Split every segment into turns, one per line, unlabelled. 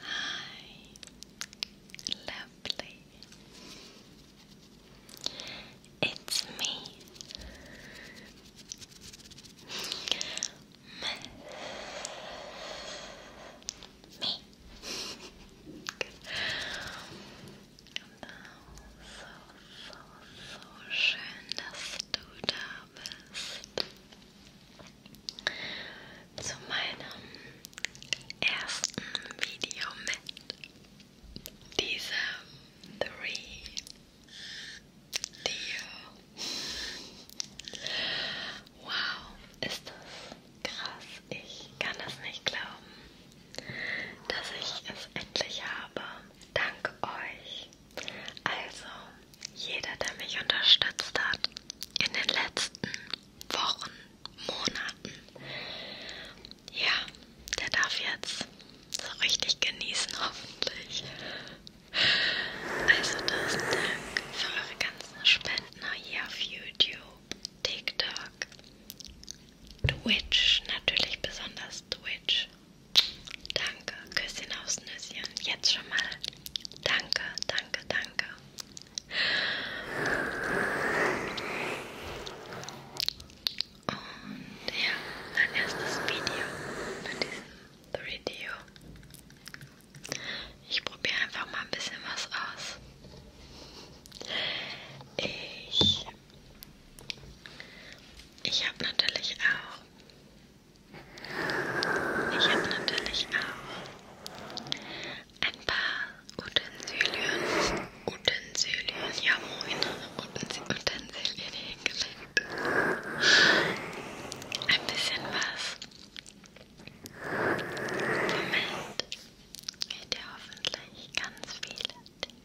Hi, lovely. It's me, me. Genau, so, so, so schön, dass du da bist zu meinem ersten Video mit dieser Three Dio. Wow, ist das krass. Ich kann das nicht glauben dass ich es endlich habe. Dank euch. Also, jeder, der mich unterstützt hat in den letzten Wochen, Monaten, ja, der darf jetzt so richtig genießen, hoffentlich. Also, tausend Dank für eure ganzen Spenden hier auf YouTube, TikTok, Twitch, natürlich besonders Twitch. Danke, Küsschen aufs Nüsschen. Jetzt schon mal. Danke, danke, danke. Und ja, mein erstes Video mit diesem Video. Ich probiere einfach mal ein bisschen was aus. Ich ich habe natürlich auch. Ich habe natürlich auch ein paar Utensilien. Utensilien, ja moin. Utensilien hingelegt. Ein bisschen was. Moment. Geht ja hoffentlich ganz viele Dinge.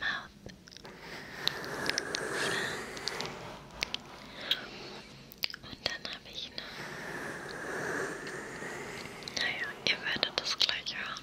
mouth. Und dann habe ich noch. Naja, ihr werdet das gleich hören.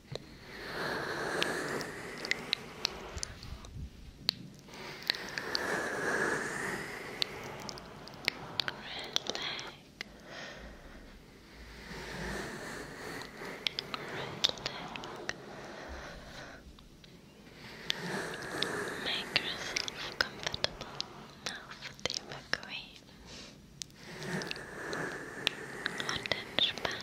Make yourself comfortable now for the evacuation. Attention back.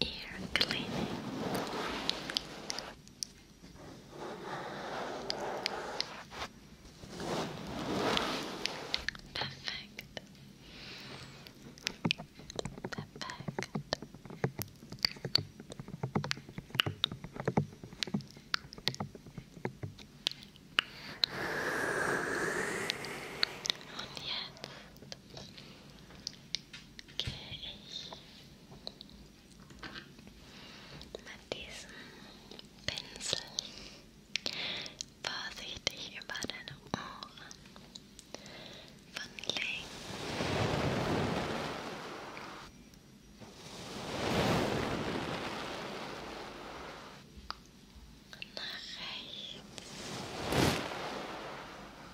ear cleaning. Perfect. Perfect. And yet, mit diesem Pinsel vorsichtig über deine Ohren von links nach rechts.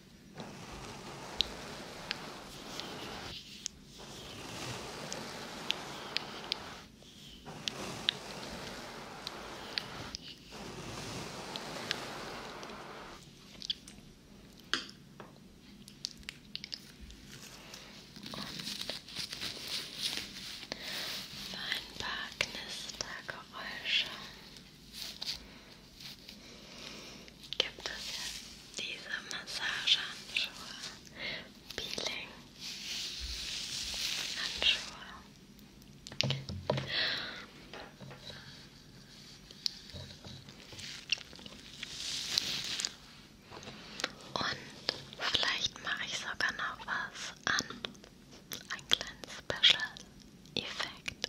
Und für ein paar Knistergeräusche gibt es diese Massagehandschuhe, Peeling-Handschuhe. Okay. Und vielleicht mache ich sogar noch was an. Ein kleinen Special-Effekt.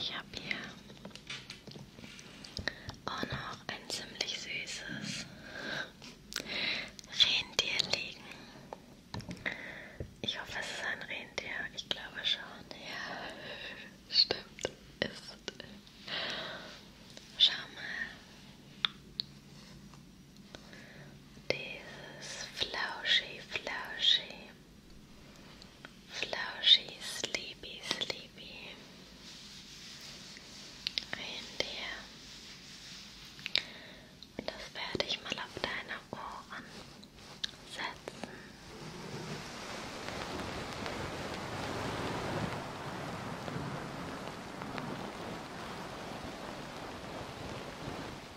Ich habe hier auch noch ein ziemlich süßes Rentier liegen. Ich hoffe, es ist ein Rentier. Ich glaube schon. Ja, stimmt. Ist. Schau mal. Dieses flauschi, flauschi Flauschig, sleepy, sleepy. Reindeer. Und das werde ich mal auf deine Ohren setzen. Und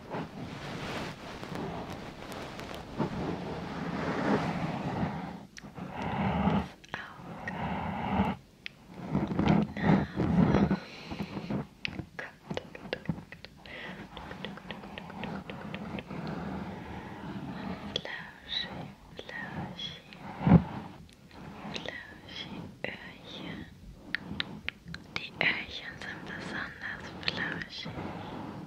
Öhrchen. Die Öhrchen sind besonders flauschig.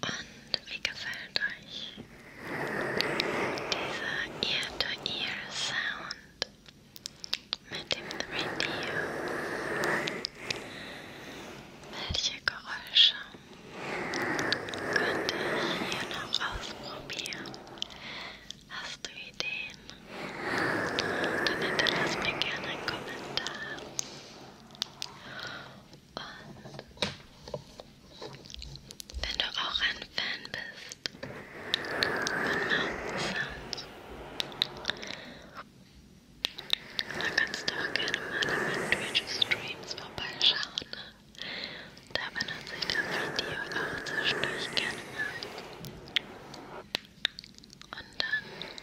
Und wie gefällt euch dieser Ear-to-Ear-Sound mit dem 3D? Welche Geräusche könnte ich hier noch ausprobieren? Hast du Ideen? Dann hinterlass mir gerne einen Kommentar. Und wenn du auch ein Fan bist von Mountain Sounds, dann kannst du auch gerne mal in meinen Twitch-Streams vorbeischauen. Ne? Da benutze ich das Video auch zwischendurch gerne mal. Und dann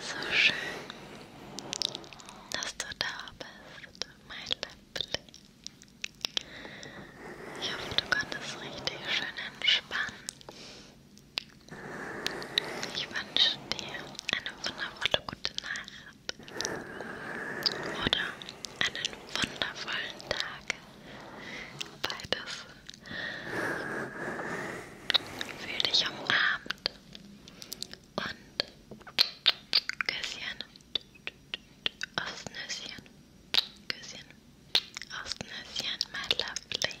So schön, dass du da bist, mein Liebling. Ich hoffe, du konntest richtig schön entspannen. Ich wünsche dir eine wundervolle gute Nacht oder einen wundervollen Tag. Beides. Fühl dich umarmt und Küsschen aufs Nüsschen. Küsschen aufs Nüsschen, my lovely.